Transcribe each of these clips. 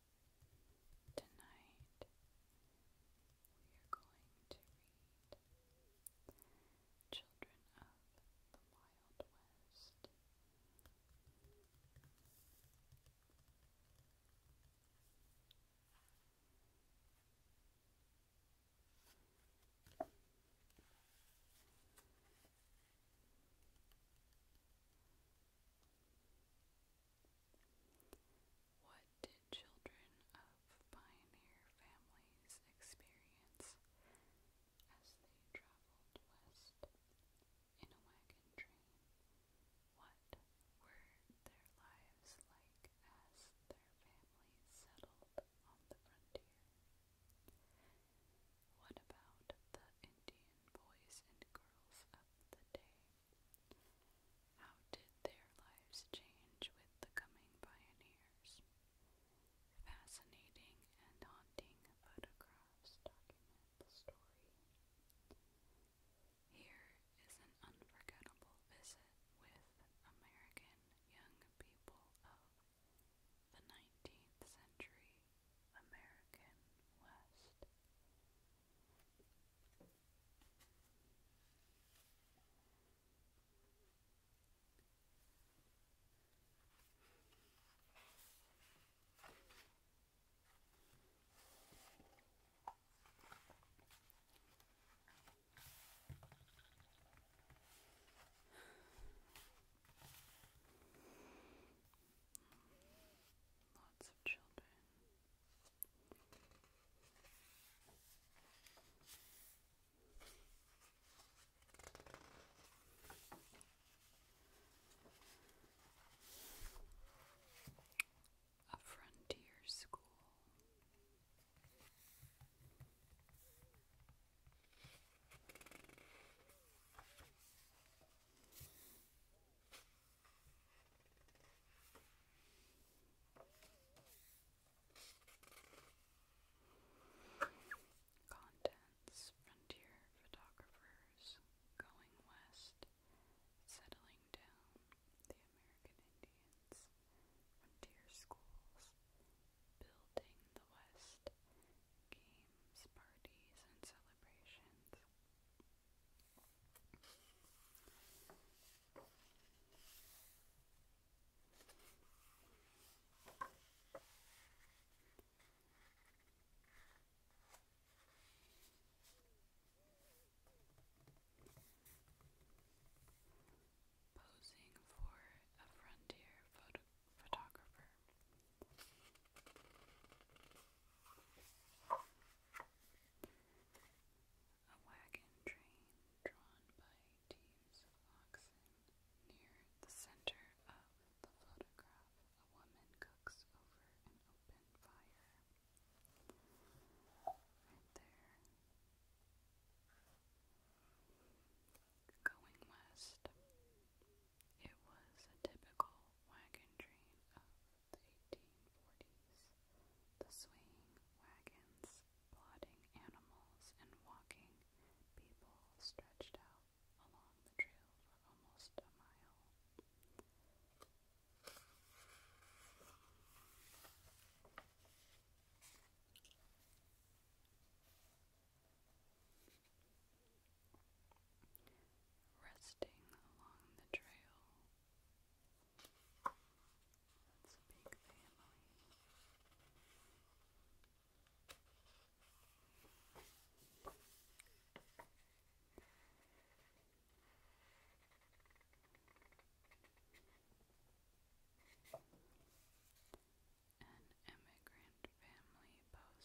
Tonight we are going to read Children of the Wild West. What did children of pioneer families experience as they traveled west in a wagon train? What were their lives like as their families settled on the frontier? What about the Indian boys and girls of the day? How did their lives change with the coming pioneers? Fascinating and haunting photographs document the story. Here is an unforgettable visit with American young people of the 19th century American West. Lots of children a frontier school. Contents Frontier Photographers Going West Settling Down The American Indians Frontier Schools Building the West Games, Parties, and Celebrations Posing for a frontier photographer. A wagon train drawn by teams of oxen. Near the center of the photograph, a woman cooks over an open fire. Right there. Going west, it was a typical wagon train of the 1840s, the swaying wagons, plodding animals, and walking people stretched out along the trail for almost a mile. Resting along the trail that's a An immigrant family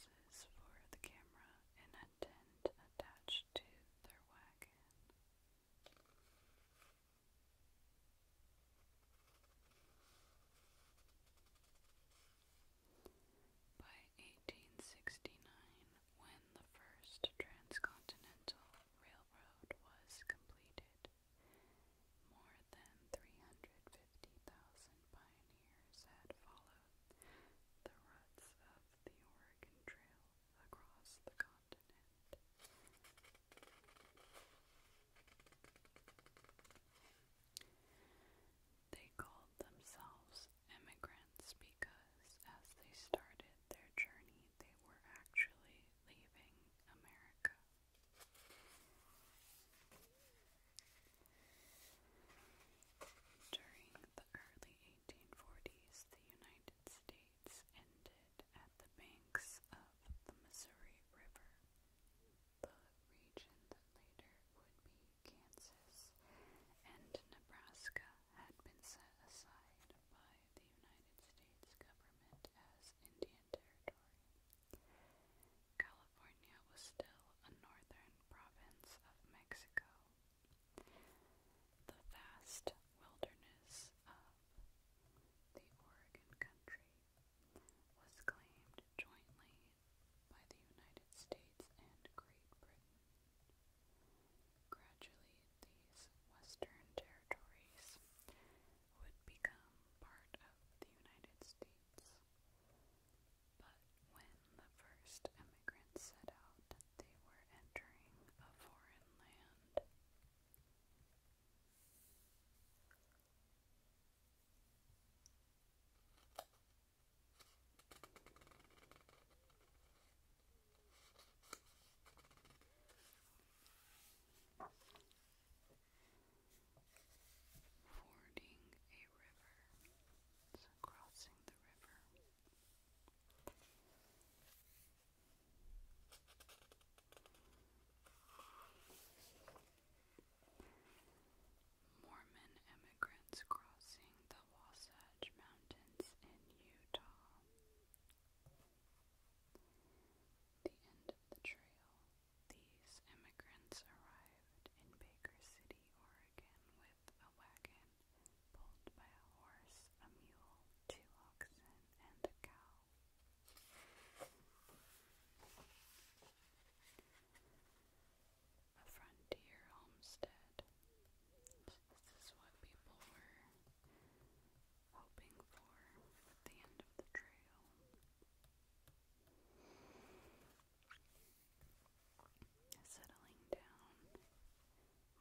poses for the camera attached to their wagon. By 1869, when the first transcontinental railroad was completed, more than 350,000 pioneers had followed the ruts of the Oregon Trail across the continent. They called themselves immigrants because as they started their journey, they were actually leaving America. During the early 1840s, the United States ended at the banks of the Missouri River. The region that later would be Kansas and Nebraska had been set aside by the United States government as Indian Territory. California was still a northern province of Mexico, the vast wilderness of the Oregon country was claimed jointly by the United States and Great Britain. Gradually, these western territories would become part of the United States, but when the first immigrants set out, they were entering a foreign land. Fording a river, crossing the river. Mormon immigrants crossing the Wasatch Mountains in Utah. The end of the trail. These immigrants arrived in Baker City, Oregon with a wagon time, pulled by a horse, a mule, two oxen, and a cow. A frontier homestead. This is what people were hoping for at the end of the trail. Settling down,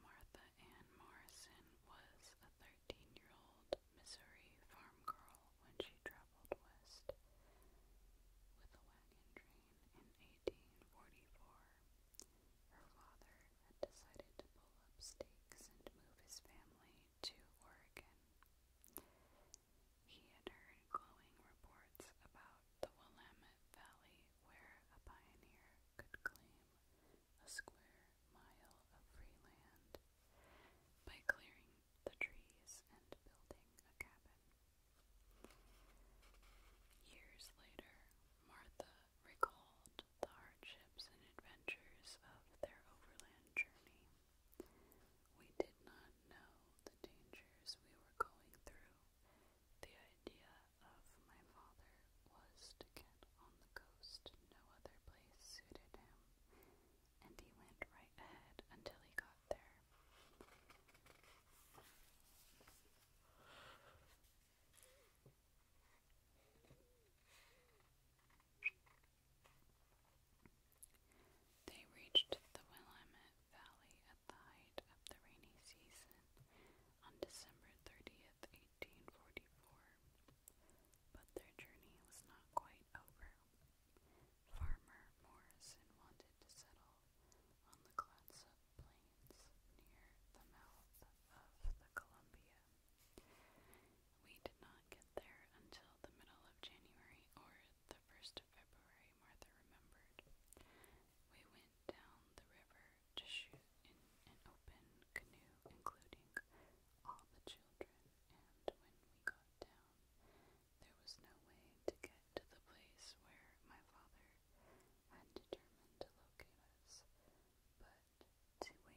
Martha Ann Morrison was a 13 year old Missouri farm girl when she traveled west with a wagon train in 1844. Her father had decided to pull up stakes and move his family to Oregon. He had heard glowing reports about the Willamette Valley where a pioneer could claim a square mile of free land by clearing the trees and building a cabin. Years later, Martha recalled the hardships and adventures of their overland journey. We did not know the dangers we were going through the idea of my father was to get on the coast. No other place suited him, and he went right ahead until he got there. They reached the Willamette Valley at the height of the rainy season on December 30th, 1844. But their journey was not quite over. Farmer Morrison wanted to settle on the Clatsop Plains near the mouth of the Columbia. We did not get there until the middle of January or the 1st of February Martha remembered. We went down the river to shoot in an open canoe, including all the children, and when we got down, there was no way to get to the place where my father had determined to locate us, but to wade through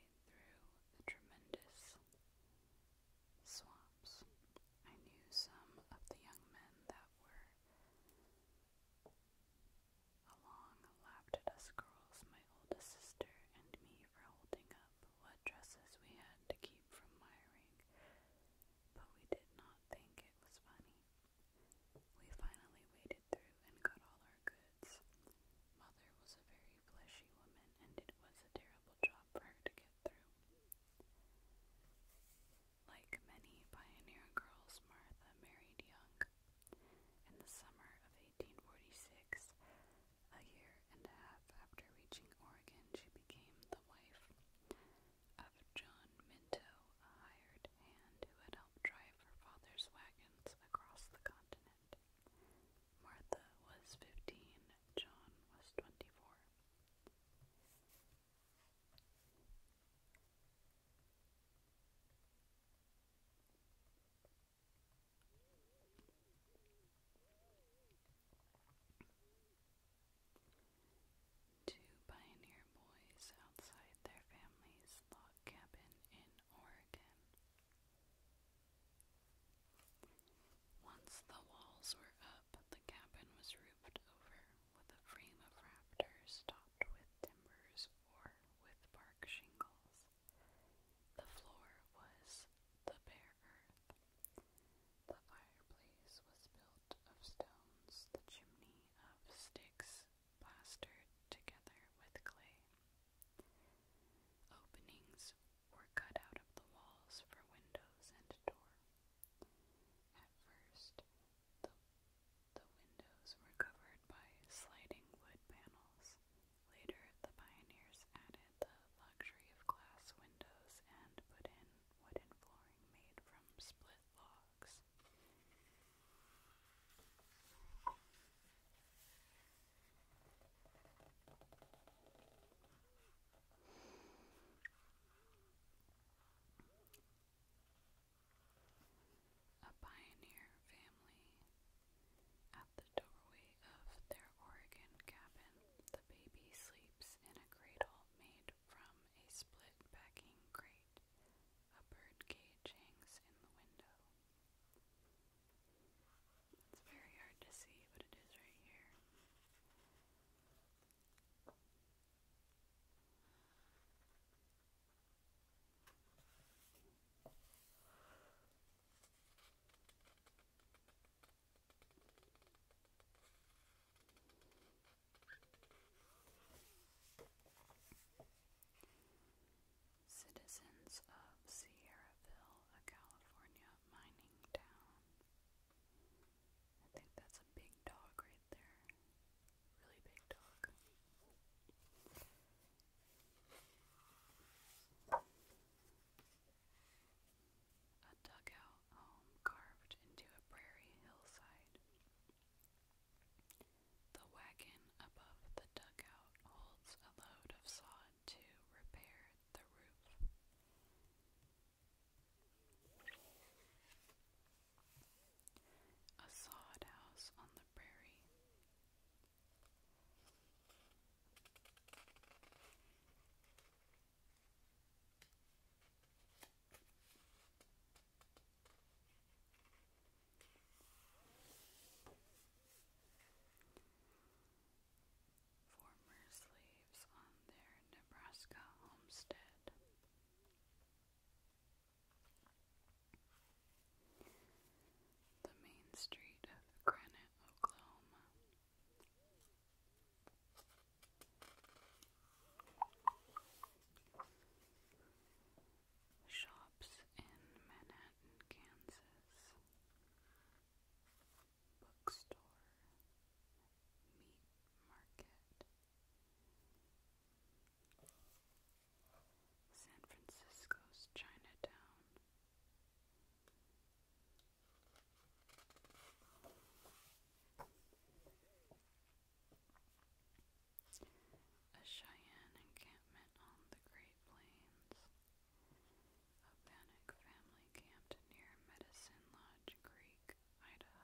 the tremendous swamps. I knew some of the young men that were Along laughed at us girls, my oldest sister and me, for holding up what dresses we had to keep from miring, but we did not think it was funny. We finally waded through and got all our goods. Mother was a very fleshy woman, and it was a terrible job for her to get through. Like many pioneer girls, Martha married young. In the summer of 1846, a year and a half after reaching Oregon, she became the wife of John Minto, a hired hand who had helped drive her father's wagons across the continent. Martha was 15, John was 24. Two pioneer boys outside their family's log cabin in Oregon. Once the walls were up, the cabin was roofed over with a frame of rafters topped with timbers or with bark shingles. The floor was the bare earth. The fireplace was built of stones, the chimney of sticks plastered together with clay. Openings were cut out of the walls for windows and a door. At first, the, windows were covered by sliding wood panels. Later, the pioneers added the luxury of glass windows and put in wooden flooring made from split logs. A pioneer family. At the doorway of their Oregon cabin, the baby sleeps in a cradle made from a split packing crate. A bird cage hangs in the window. It's very hard to see, but it is right here. Citizens of Sierraville, a California mining town. I think that's a big dog right there. Really big dog. A dugout home um, carved into a prairie hillside. The wagon above the dugout holds a load of sod to repair the roof. A sod house on the prairie. Former slaves on their Nebraska homestead. The main street of Granite, Oklahoma. Shops in Manhattan, Kansas. Bookstore. Meat market. San Francisco's Chinatown. A Cheyenne encampment on the Great Plains. A Bannock family camped near Medicine Lodge Creek, Idaho.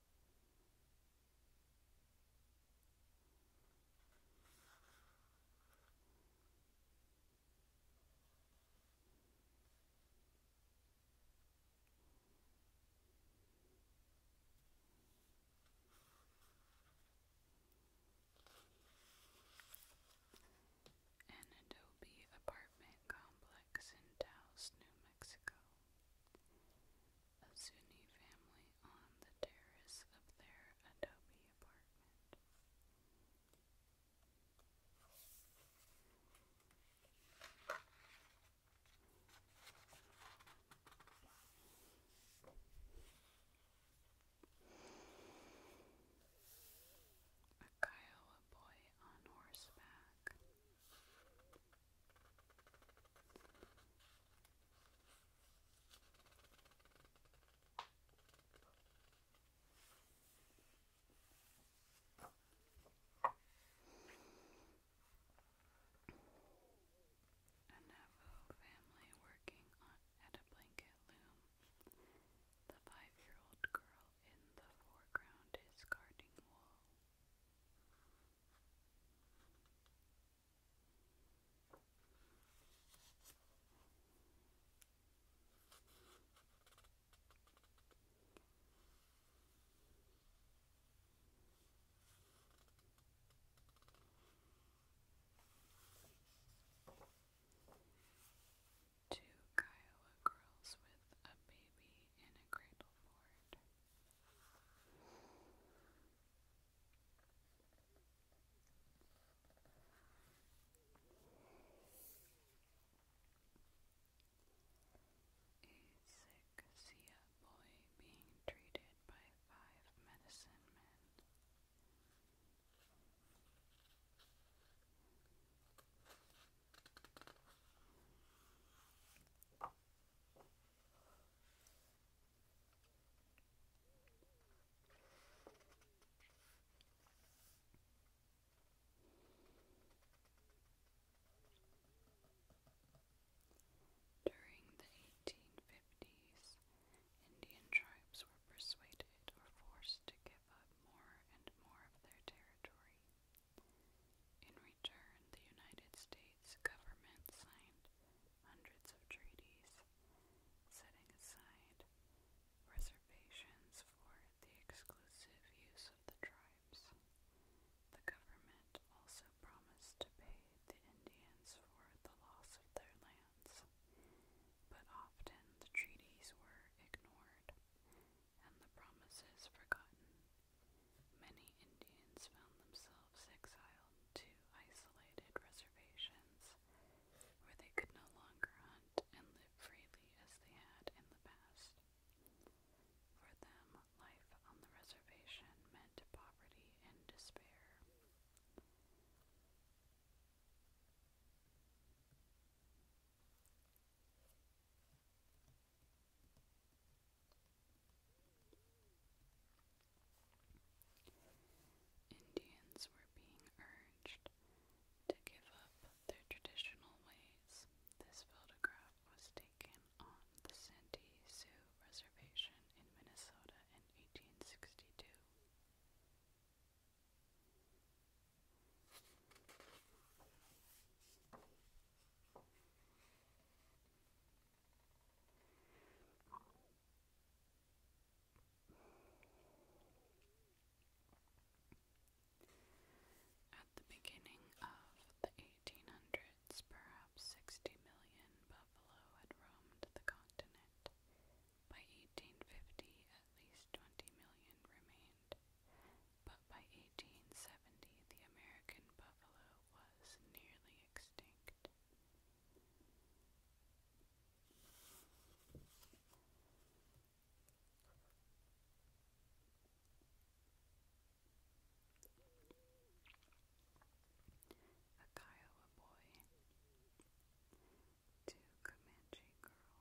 An Adobe apartment complex in Taos, New Mexico. A Sunni family on the terrace of their adobe apartment. A Kiowa boy on horseback. A Navajo family working at a blanket loom. The five year old girl in the foreground is carding wool. Two Kiowa girls with a baby in a cradle. Lord. A sick Sia boy being treated by five medicine men. During the 1850s, Indian tribes were persuaded or forced to give up more and more of their territory. In return, the United States government signed hundreds of treaties, setting aside reservations for the exclusive use of the tribes. The government also promised to pay the Indians for the loss of their lands, but often the treaties were ignored and the promises forgotten, many Indians found themselves exiled to isolated reservations where they could no longer hunt and live freely as they had in the past. For them, life on the reservation meant poverty and despair. Indians were being urged to give up their traditional ways. This photograph was taken on the Santee Sioux Reservation in Minnesota in 1862. At the beginning of the 1800s, perhaps 60 million buffalo had roamed the continent. By 1850, at least 20 million remained, but by 1870 the American buffalo was nearly extinct. A Kiowa boy, two Comanche girls,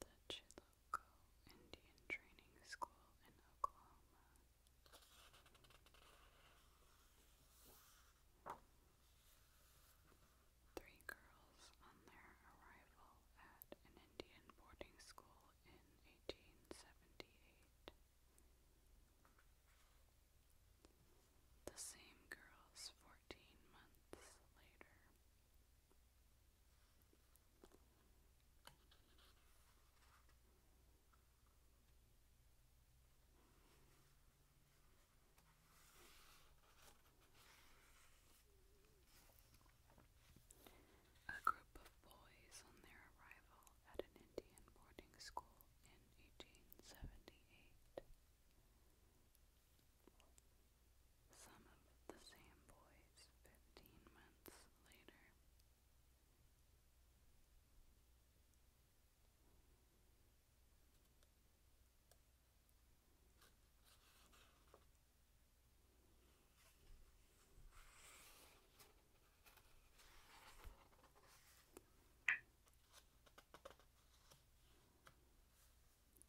The Chilocco Indian Training School in Oklahoma. Three girls on their arrival at an Indian boarding school in 1878. The same girls 14 months later a group of boys on their arrival at an Indian boarding school in 1878 some of the same boys fifteen months later.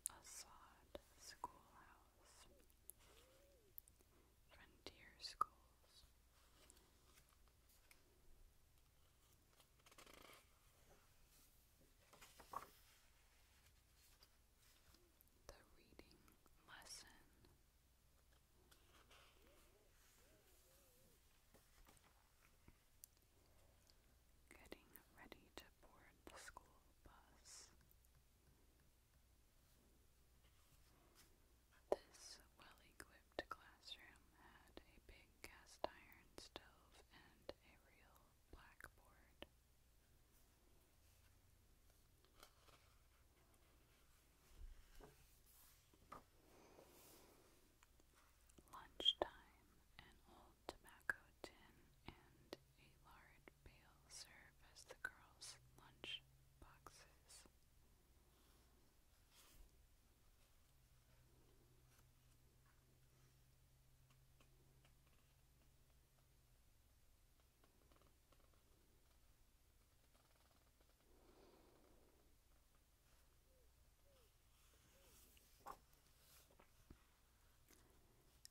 Assad Schoolhouse, Frontier Schools. The reading lesson. Getting ready to board the school bus. This well equipped classroom had a big cast iron stove and a real blackboard. Lunchtime, an old tobacco tin, and a lard pail serve as the girls' lunch boxes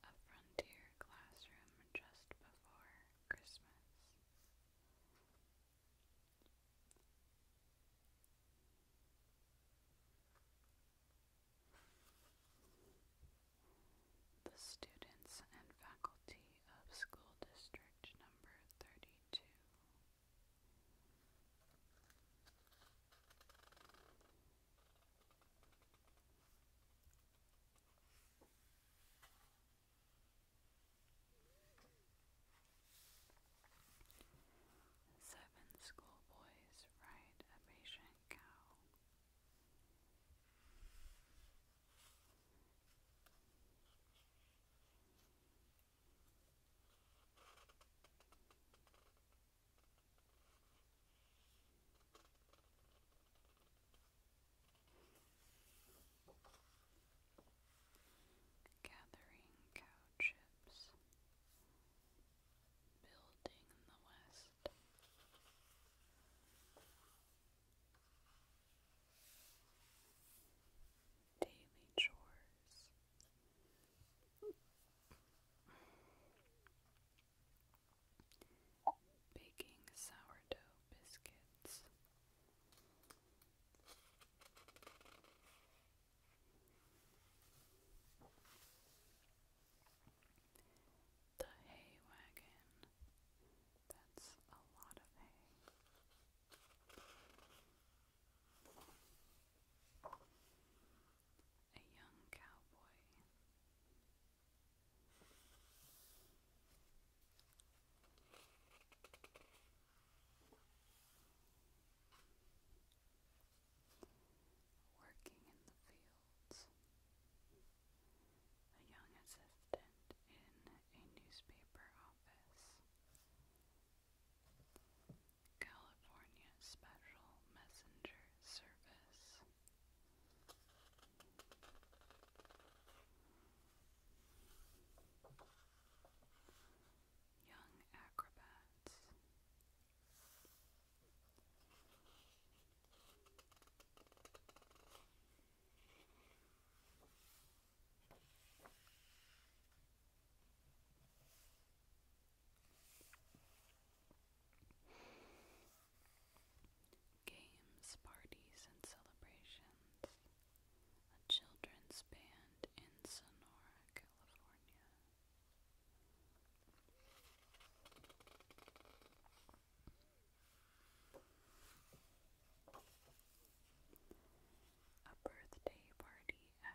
a frontier classroom just before Christmas. The students and faculty of School District Number 32 Seven schoolboys ride a patient cow. Gathering cow chips, building in the west. Daily chores, Baking sourdough biscuits. The hay wagon. That's a lot of hay a young cowboy. Working in the fields, a young assistant in a newspaper office California Special Messenger Service. Young Acrobats. Games, parties, and celebrations. A children's band in Sonora, California. A birthday party at a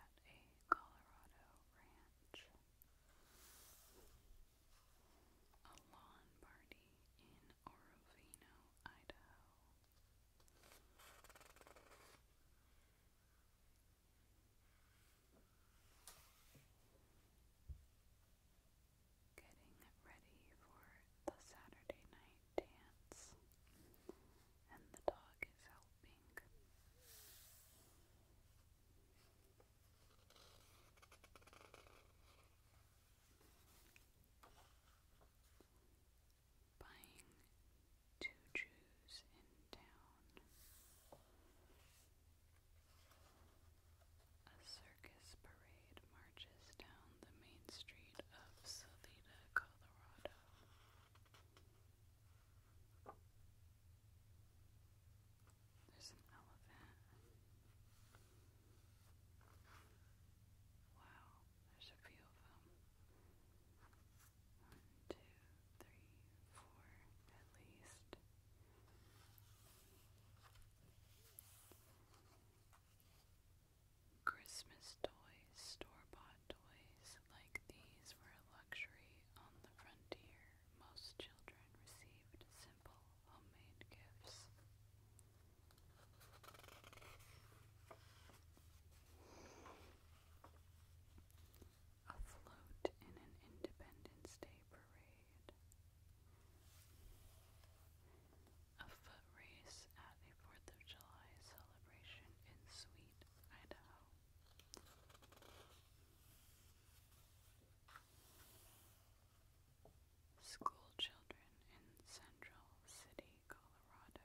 Colorado ranch, a lawn party in Orovino, Idaho. Getting ready for the Saturday night dance and the dog is helping. Buying two Jews in town. A circus parade marches down the main street of Salida, Colorado. There's an elephant. Wow, there's a few of them. One, two, three, four, at least. Christmas toys, store bought toys like these were a luxury on the frontier. Most children received simple homemade gifts. Afloat in an Independence Day parade. A foot race at a Fourth of July celebration in Sweet, Idaho. School children in Central City, Colorado.